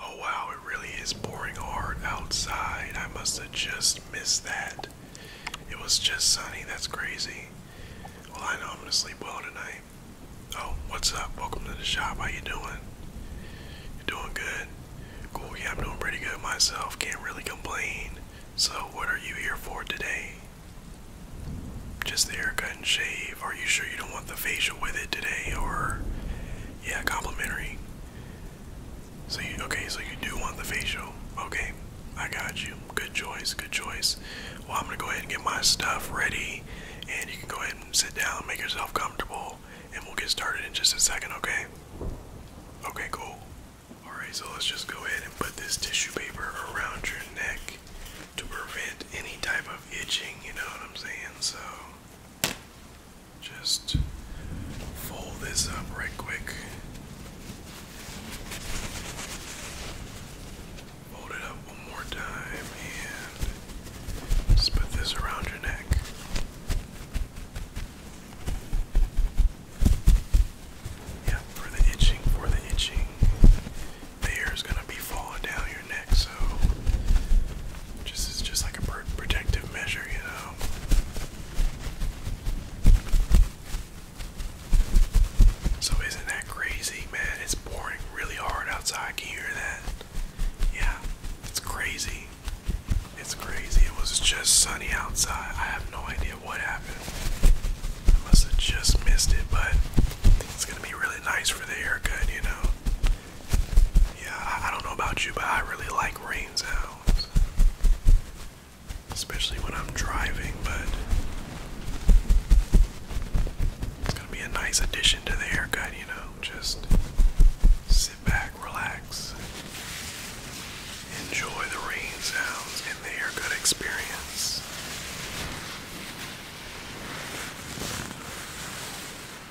Oh wow, it really is pouring hard outside. I must have just missed that. It was just sunny, that's crazy. Well, I know I'm gonna sleep well tonight. Oh, what's up? Welcome to the shop. How you doing? You doing good? Cool, yeah, I'm doing pretty good myself. Can't really complain. So, what are you here for today? Just the haircut and shave. Are you sure you don't want the facial with it today, or yeah, complimentary. So you okay? So you do want the facial? Okay, I got you. Good choice. Good choice. Well, I'm gonna go ahead and get my stuff ready, and you can go ahead and sit down, and make yourself comfortable, and we'll get started in just a second. Okay? Okay, cool. All right. So let's just go ahead and put this tissue paper around your neck to prevent any type of itching. You know what I'm saying? So just fold this up right quick. Fold it up one more time and just put this around your neck. Yeah, for the itching, for the itching. The hair is going to be falling down so this is just like a protective measure, you know. So isn't that crazy, man? It's pouring really hard outside. Can you hear that? Yeah, it's crazy. It's crazy. It was just sunny outside. I have no idea what happened. I must have just missed it, but it's gonna be really nice for the haircut, you know. Yeah, I, don't know about you, but I really like rain sounds. Especially when I'm driving, but it's gonna be a nice addition to the haircut, you know. Just sit back, relax, enjoy the rain sounds and the haircut experience.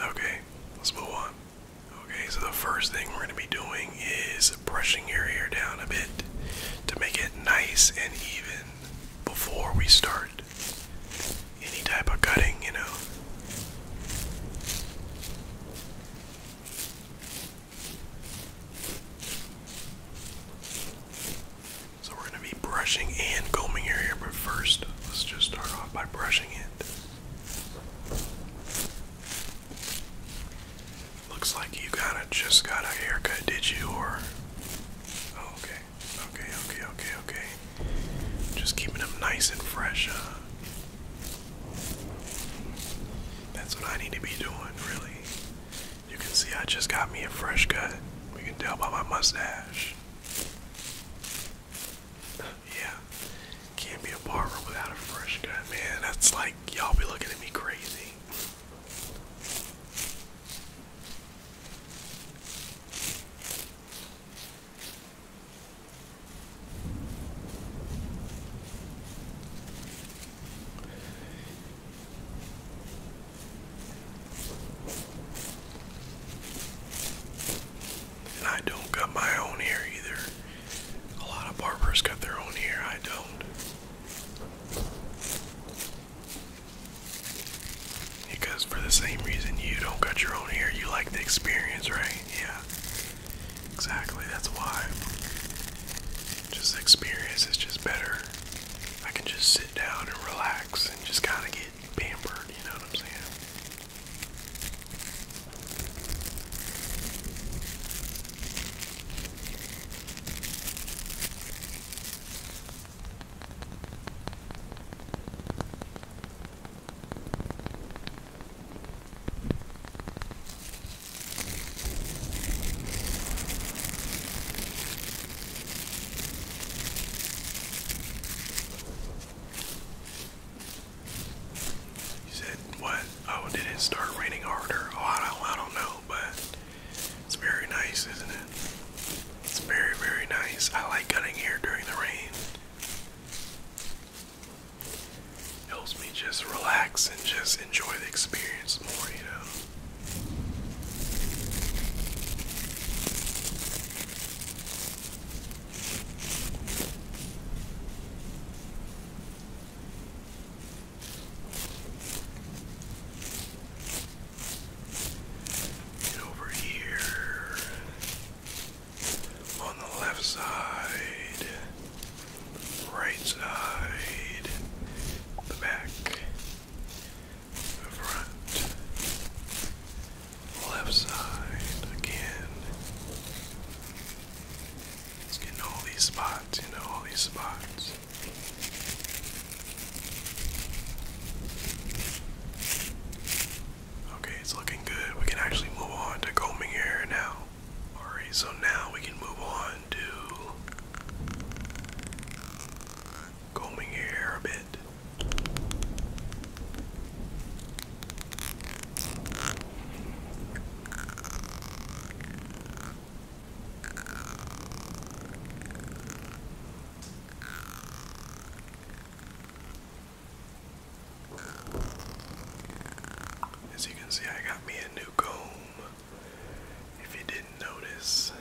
Okay, let's move on. Okay, so the first thing we're going to be doing is brushing your hair down a bit to make it nice and even before we start any type of cutting, you know. So we're going to be brushing and combing your hair, but first, let's just start off by brushing it. Looks like you got a, just got a haircut, did you? Or oh, okay, okay, okay, okay, okay. Just keeping them nice and fresh. Huh? That's what I need to be doing, really. You can see I just got me a fresh cut. We can tell by my mustache much. yeah. Can't be a barber without a fresh cut, man. That's like y'all be looking at me crazy. I don't cut my own hair either. A lot of barbers cut their own hair, I don't. Because for the same reason you don't cut your own hair, you like the experience, right? Yeah. Exactly, that's why. Just experience is just better. I can just sit down and relax and just kind of get pampered, you know what I'm saying? You said what? Oh, did it start raining harder? Oh, I don't, I don't know, but it's very nice, isn't it? It's very, very nice. I like cutting here during the rain. Helps me just relax and just enjoy the experience more, you know. And over here on the left side, right side, the back front, left side again. It's all these spots, you all these spots. Okay, it's looking good. We can actually move on to combing hair now. Alright, so now we can move on to combing your hair a bit. As you can see, I got me a new comb. If you didn't notice,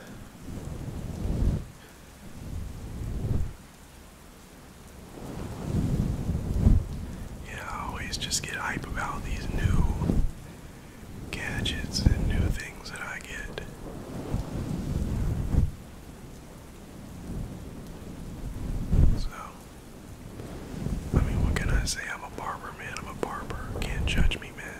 yeah, I always just get hype about these new gadgets and new things that I get. So, I mean, what can I say? I'm a barber, man. I'm a barber. Can't judge me, man.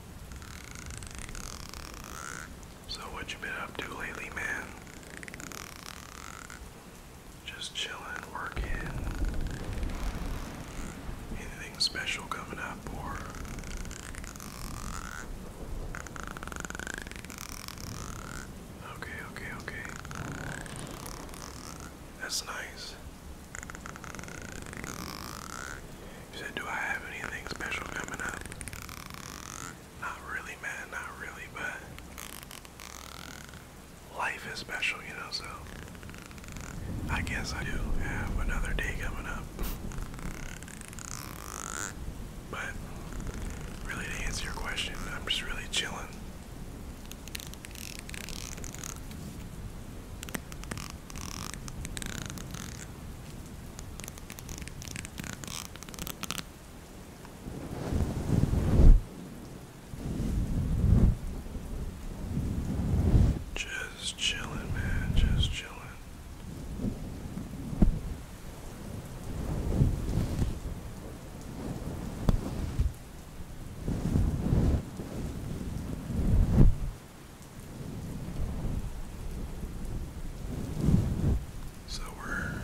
So what you been up to lately, man? Just chilling, working. Anything special coming up or Okay, okay, okay. That's nice said, do I have anything special coming up? Not really, man, not really, but life is special, you know, so I guess I do have another day coming up. But really to answer your question, I'm just really chilling. Just chilling, man, just chilling. So we're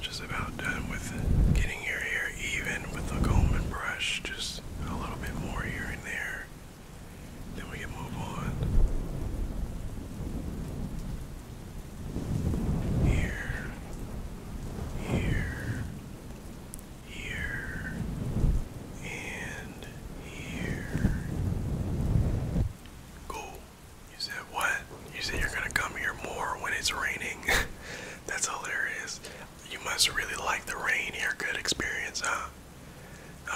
just about done with getting your hair even with the comb and brush, just a little bit more here and there. Then we can move on. Here, here, here, and here. Cool. You said what? You said you're gonna come here more when it's raining. That's hilarious. You must really like the rain here. Good experience, huh?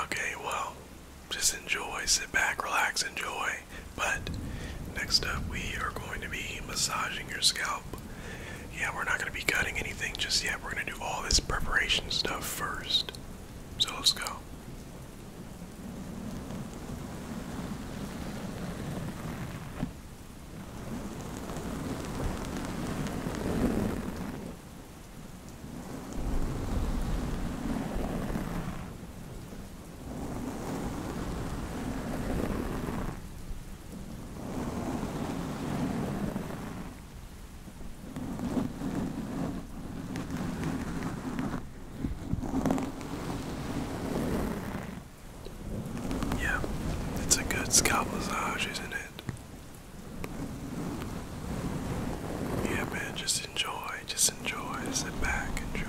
Okay, well, just enjoy, sit back, relax, enjoy. But next up, we are going to be massaging your scalp. Yeah, we're not going to be cutting anything just yet we're gonna do all this preparation stuff first. So let's go. Yeah, it's a good scalp massage, isn't it? Yeah, man, just enjoy, just enjoy, sit back, enjoy.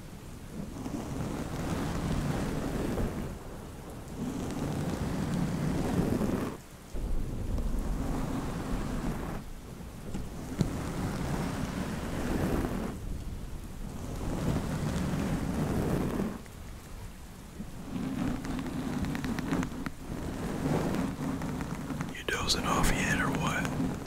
You dozing off yet or what?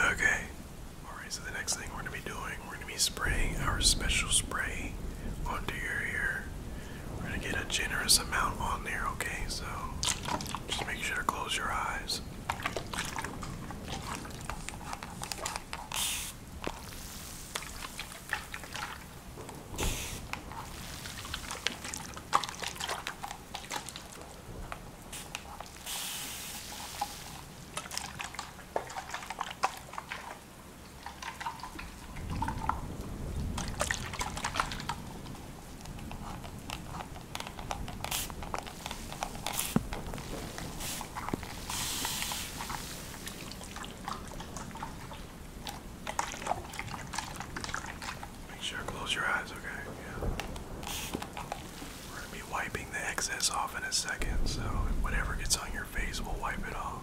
Okay. Alright, so the next thing we're going to be doing, we're going to be spraying our special spray onto your ear. We're gonna get a generous amount on there, okay? So just make sure to close your eyes. Make sure close your eyes, okay? Yeah. We're gonna be wiping the excess off in a second, so whatever gets on your face, we'll wipe it off.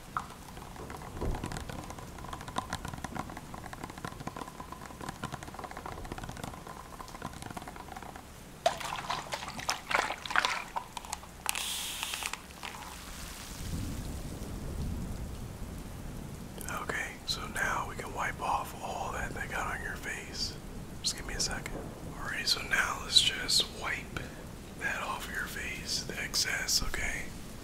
Okay, so now we can wipe off all that they got on your face. Just give me a second. Alright, so now let's just wipe that off your face, the excess, okay?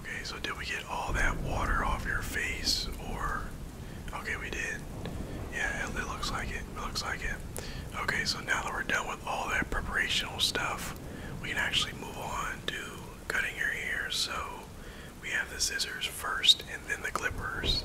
Okay, so did we get all that water off your face or Okay, we did. Yeah, it, looks like It looks like it. Okay, so now that we're done with all that preparational stuff, we can actually move on to cutting your hair. So we have the scissors first and then the clippers.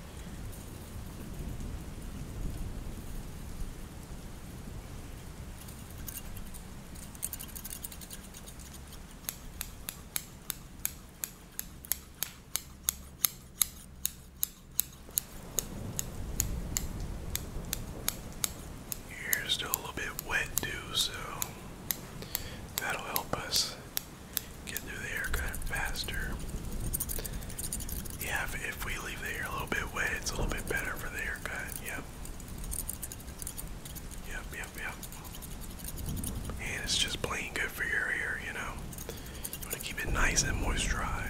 Your hair still a little bit wet too, so that'll help us get through the haircut faster. Yeah, if, we leave the hair a little bit wet, it's a little bit better for the haircut. Yep. Yep, yep, yep. And it's just plain good for your hair, you know. You want to keep it nice and moisturized.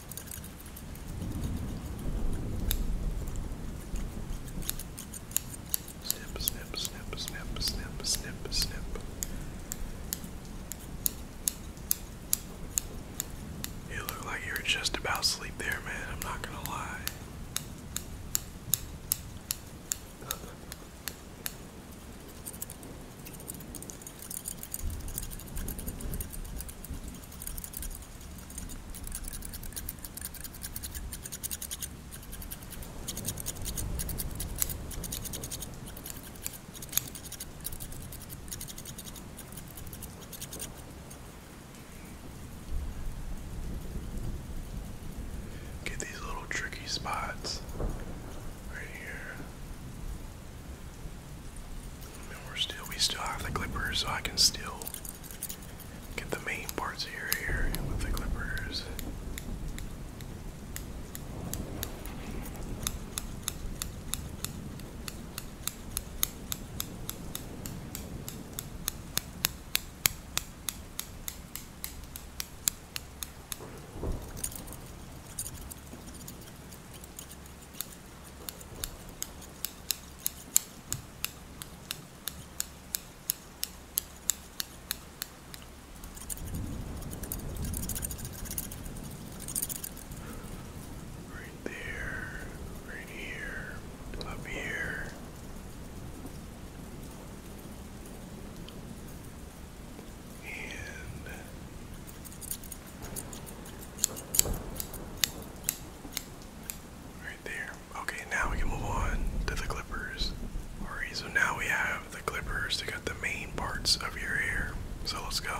Snip, snip, snip, snip, snip, snip, snip. You look like you are just about asleep there, man. I'm not gonna lie. Get these little tricky spots right here. And we're still we still have the clippers so I can still Get the main parts of your hair with the clippers. Right there, right here, up here. And Right there. Okay, now we can move on to the clippers. Alright, so now we have the clippers to cut the main parts of your hair. So let's go.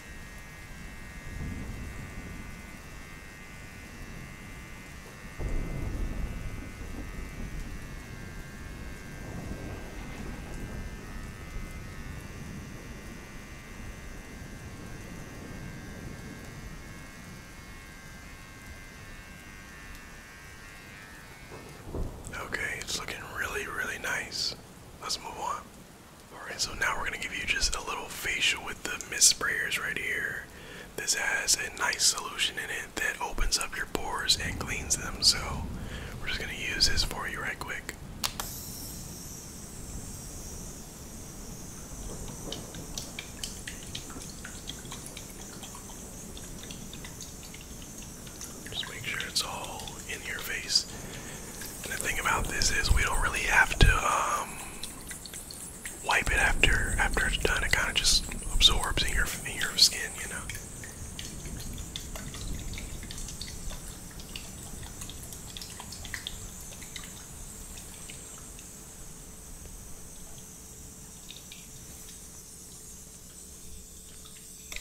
Okay, it's looking really, really nice. Let's move on. Alright, so now we're gonna give you just a little facial with the mist sprayers right here. This has a nice solution in it that opens up your pores and cleans them, so we're just gonna use this for you right quick. Just make sure it's all in your face the thing about this is we don't really have to um, wipe it after after it's done. It kind of just absorbs in your in your skin, you know.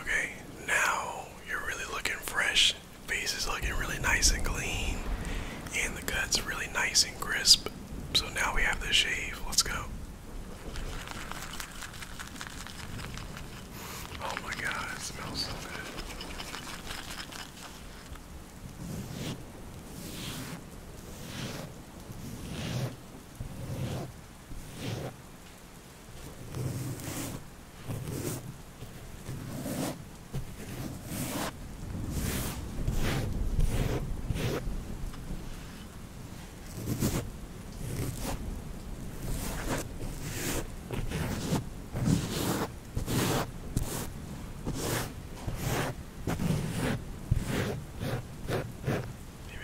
Okay, now you're really looking fresh. Face is looking really nice and clean, and the cut's really nice and crisp. So now we have the shave. Let's go. Oh my god, it smells so good. Maybe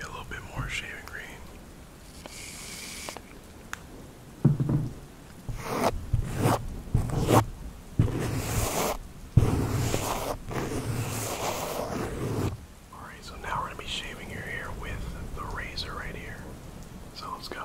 a little bit more shaving green. Alright, so now we're going to be shaving your hair with the razor right here. So let's go.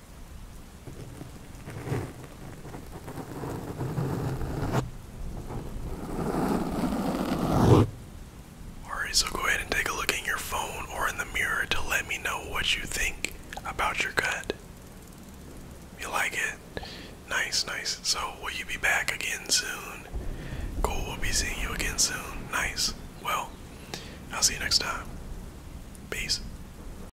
Alright, so go ahead and take a look in your phone or in the mirror to let me know what you think about your gut. You like it? Nice, nice. So, will you be back again soon? Cool, we'll be seeing you again soon. Nice. Well, I'll see you next time. Peace.